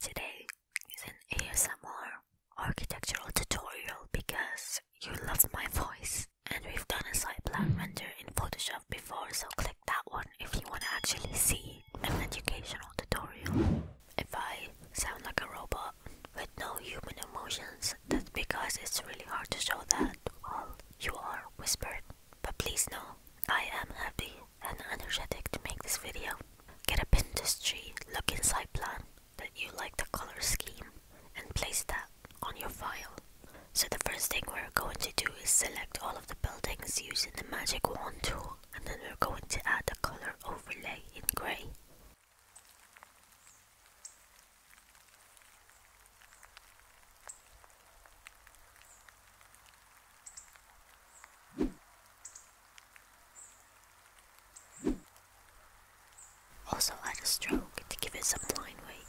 Today is an ASMR architectural tutorial because you love my voice and we've done a site plan render in Photoshop before so click that one if you want to actually see an educational tutorial. If I sound like a robot with no human emotions that's because it's really hard to show that All you are whispering but please know I am happy and energetic to make this video. Get up in this tree, look inside plan that you like the color scheme and place that on your file. So the first thing we're going to do is select all of the buildings using the magic wand tool and then we're going to add a color overlay in grey. Also add a stroke to give it some line weight.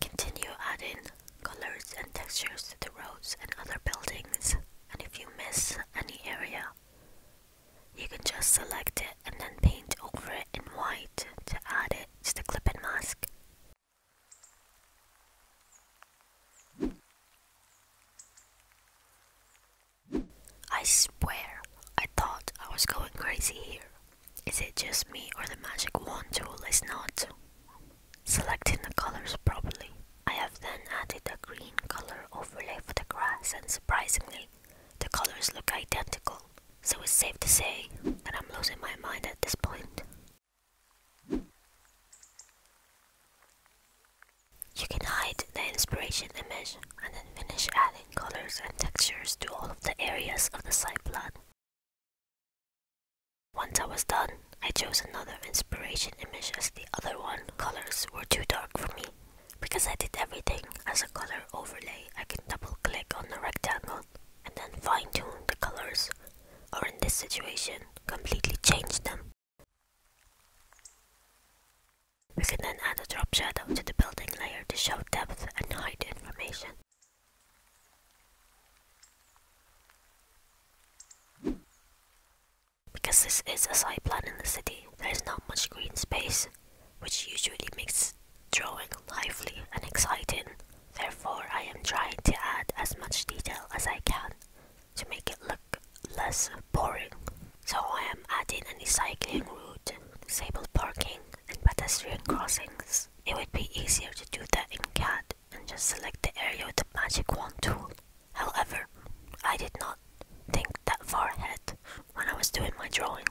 Continue adding colors and textures to the roads and other buildings, and if you miss any area, you can just select it and then paint over it in white to add it to the clip-in mask. I swear, I thought I was going crazy here. Is it just me or the magic wand tool is not? Selecting the colors properly, I have then added a green color overlay for the grass and surprisingly, the colors look identical, so it's safe to say that I'm losing my mind at this point. You can hide the inspiration image and then finish adding colors and textures to all of the areas of the site plan. Once I was done, I chose another inspiration image as the other one colors were too dark for me because I did everything as a color overlay, I can double click on the rectangle and then fine tune the colors, or in this situation, completely change them. We can then add a drop shadow to the building layer to show depth and hide information. Because this is a side plan in the city, there is not much green space, which usually makes drawing lively and exciting. Therefore, I am trying to add as much detail as I can to make it look less boring. So I am adding a new cycling route, disabled parking, and pedestrian crossings. It would be easier to do that in CAD and just select the area with the magic wand tool However, I did not think that far ahead when I was doing my drawing.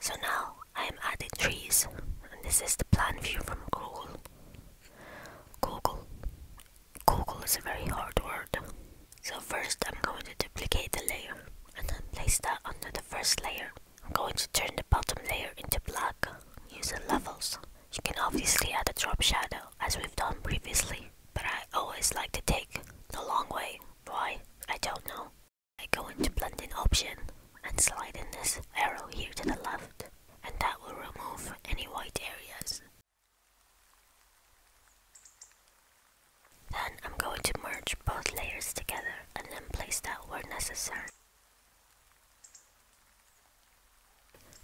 So now I am adding trees, and this is the plan view from Google. Google. Google is a very hard word. So first I'm going to duplicate the layer and then place that under the first layer. I'm going to turn the bottom layer into black using levels. You can obviously add a drop shadow as we've done previously, but I always like to take the long way. Why? I don't know. I go into blending option and slide in this arrow here to the left and that will remove any white areas. Then I'm going to merge both layers together and then place that where necessary.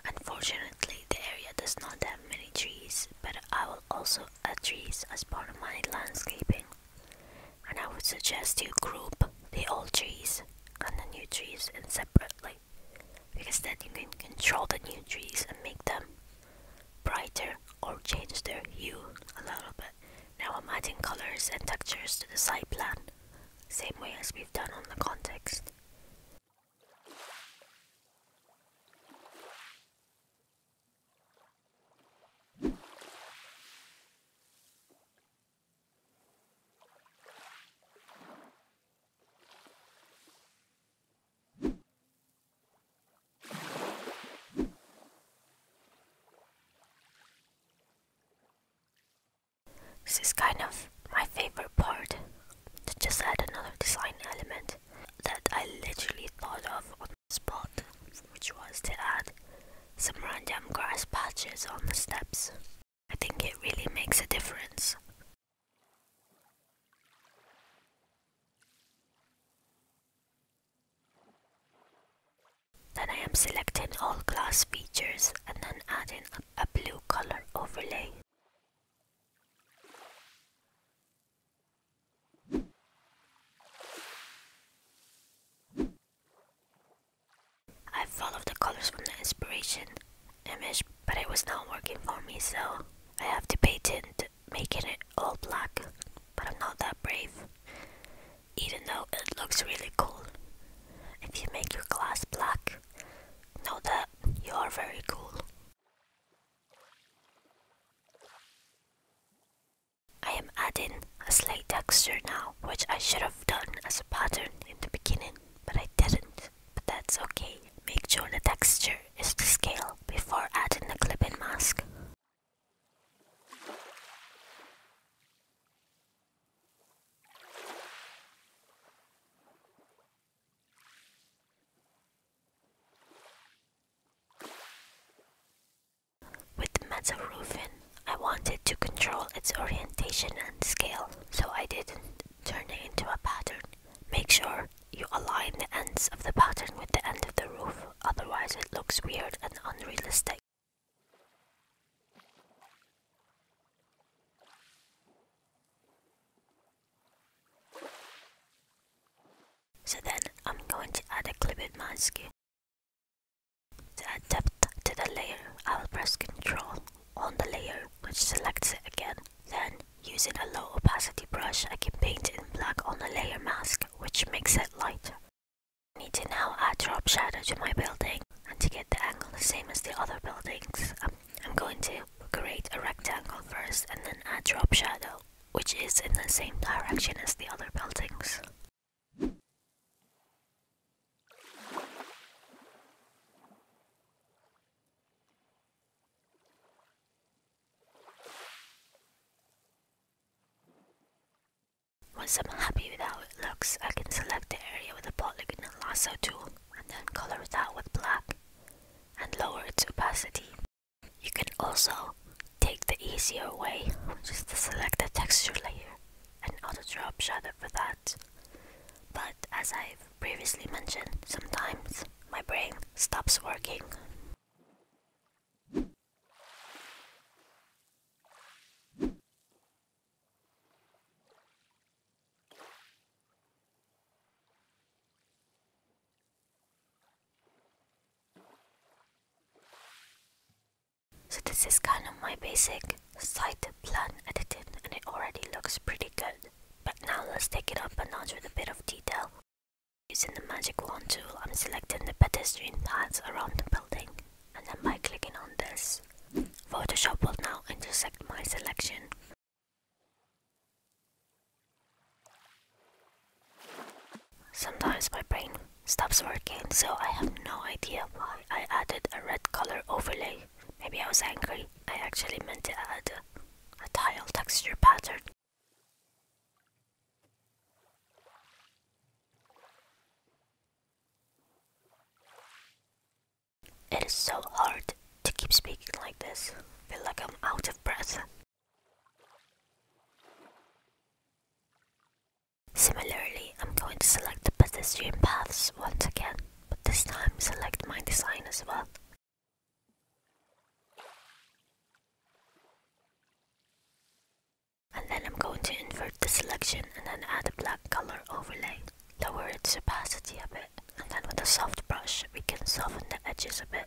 Unfortunately the area does not have many trees but I will also add trees as part of my landscaping. And I would suggest you group the old trees and the new trees separately because then you can control the new trees and make them brighter or change their hue a little bit. Now I'm adding colors and textures to the site plan, same way as we've done on the context. This is kind of my favorite part. To just add another design element that I literally thought of on the spot which was to add some random grass patches on the steps. I think it really makes a difference. Then I am selecting all glass features and then adding a blue color overlay. I followed the colors from the inspiration image, but it was not working for me, so I have to paint it, making it all black, but I'm not that brave, even though it looks really cool. If you make your glass black, know that you are very cool. I am adding a slight texture now, which I should have done as a pattern in the beginning, but I didn't, but that's okay. Make sure the texture is to scale before adding the clipping mask. With the Metaroofin, I wanted to control its orientation and scale, so I didn't turn it into a pattern. Make sure you align the ends of the pattern with the end of the roof, otherwise it looks weird and unrealistic. So then I'm going to add a clipped mask to adapt to the layer, I will press Ctrl on the layer, which selects it again. Then, using a low opacity brush, I can paint in black on the layer mask, which makes it lighter. I need to now add drop shadow to my building, and to get the angle the same as the other buildings, um, I'm going to create a rectangle first and then add drop shadow, which is in the same direction as the other buildings. Once I'm happy with how it looks, I can select the area with the polygon and lasso tool and then color it out with black and lower its opacity. You can also Take the easier way, which is to select the texture layer and auto drop shadow for that. But as I've previously mentioned, sometimes my brain stops working. So this is kind of my basic site plan edited, and it already looks pretty good. But now let's take it up a notch with a bit of detail. Using the magic wand tool, I'm selecting the pedestrian paths around the building and then by clicking on this, Photoshop will now intersect my selection Sometimes my brain stops working, so I have no idea why I added a red color overlay. Maybe I was angry. I actually meant to add a, tile texture pattern. It is so hard to keep speaking like this. feel like I'm out of breath. Similarly, I'm going to select the pedestrian paths once again, but this time select my design as well. And then I'm going to invert the selection and then add a black color overlay, lower its opacity a bit, and then with a soft brush we can soften the edges a bit.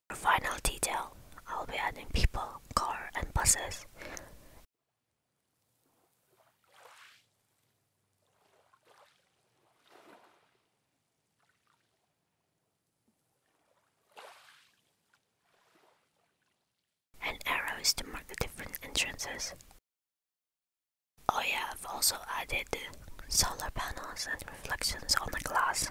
For final detail, I'll be adding people, car and buses. And arrows to mark the different entrances. Oh yeah, I've also added solar panels and reflections on the glass.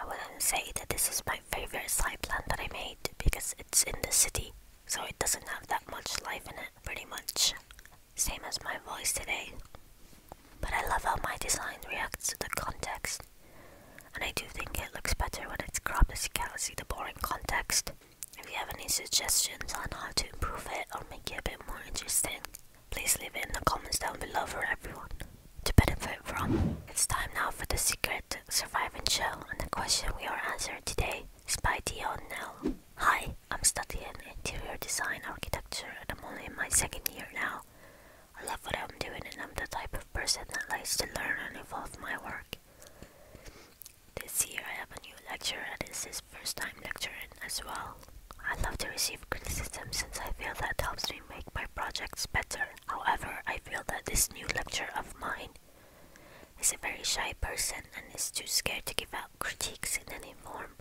I wouldn't say that this is my favorite side plant that I made because it's in the city, so it doesn't have that much life in it, pretty much. Same as my voice today. But I love how my design reacts to the context, and I do think it looks better when it's cropped as you can see the boring context. If you have any suggestions on how to improve it or make it a bit more interesting, Please leave it in the comments down below for everyone to benefit from. It's time now for the secret surviving show, and the question we are answering today is by Dion Hi, I'm studying interior design architecture, and I'm only in my second year now. I love what I'm doing, and I'm the type of person that likes to learn and evolve my work. This year I have a new lecture and it's this first time lecturing as well. I love to receive criticism since I feel that helps me make my projects better. However, I feel that this new lecturer of mine is a very shy person and is too scared to give out critiques in any form.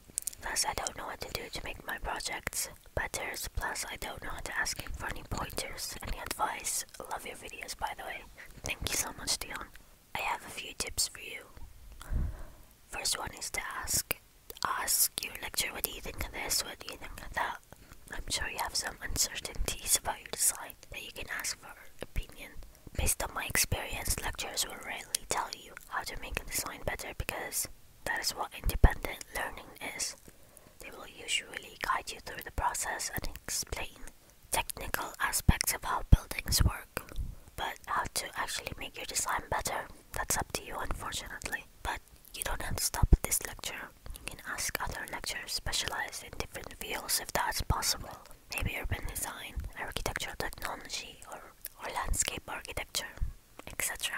Thus, I don't know what to do to make my projects better. Plus, I don't know how to ask him for any pointers, any advice. Love your videos, by the way. Thank you so much, Dion. I have a few tips for you. First one is to ask ask your lecturer what do you think of this, what do you think of that. I'm sure you have some uncertainties about your design that you can ask for opinion. Based on my experience, lecturers will rarely tell you how to make a design better because that is what independent learning is. They will usually guide you through the process and explain technical aspects of how buildings work. But how to actually make your design better, that's up to you unfortunately. But you don't have to stop this lecture. You can ask other lecturers specialized in different fields if that's possible. Maybe urban design, architectural technology, or, or landscape architecture, etc.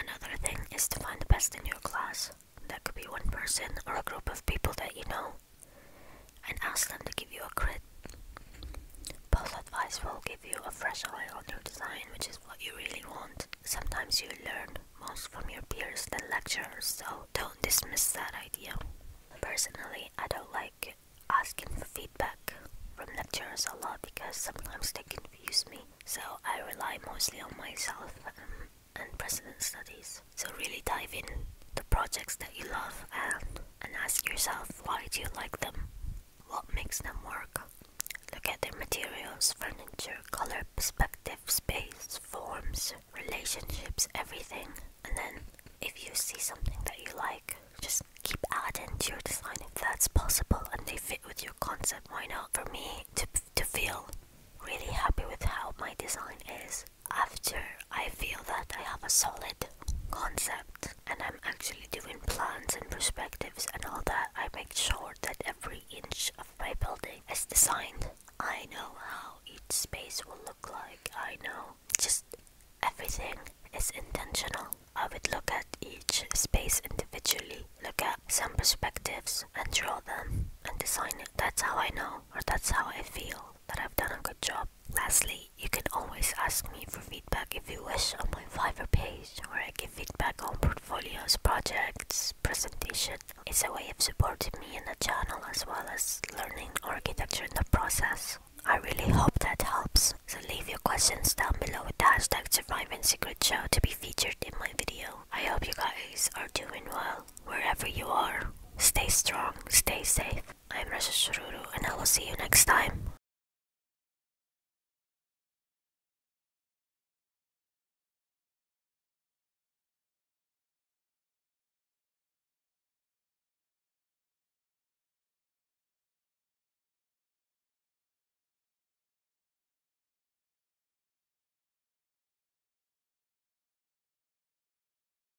Another thing is to find the best in your class. That could be one person or a group of people that you know and ask them to give you a crit. Both advice will give you a fresh eye on your design, which is what you really want. Sometimes you learn most from your peers than lecturers, so don't dismiss that idea. Personally, I don't like asking for feedback from lecturers a lot because sometimes they confuse me, so I rely mostly on myself um, and present studies. So, really dive in the projects that you love and and ask yourself why do you like them? What makes them work? Look at their materials, furniture, color, perspective, space, forms, relationships, everything. And then if you see something that you like, just keep adding to your design if that's possible and they fit with your concept. Why not? For me to, to feel really happy with how my design is, after I feel that I have a solid concept and I'm actually doing plans and perspectives and all that, I make sure that every inch of my building is designed. I know how each space will look like. I know just everything is intentional. I would look at each space individually, look at some perspectives and draw them and design it. That's how I know or that's how I feel that I've done a good job. Lastly, you can always ask me for feedback if you wish on my Fiverr page, where I give feedback on portfolios, projects, presentation. It's a way of supporting me in the channel as well as learning architecture in the process. I really hope that helps, so leave your questions down below with the hashtag Surviving Secret Show to be featured in my video. I hope you guys are doing well, wherever you are. Stay strong, stay safe, I'm Rasa Sururu and I will see you next time.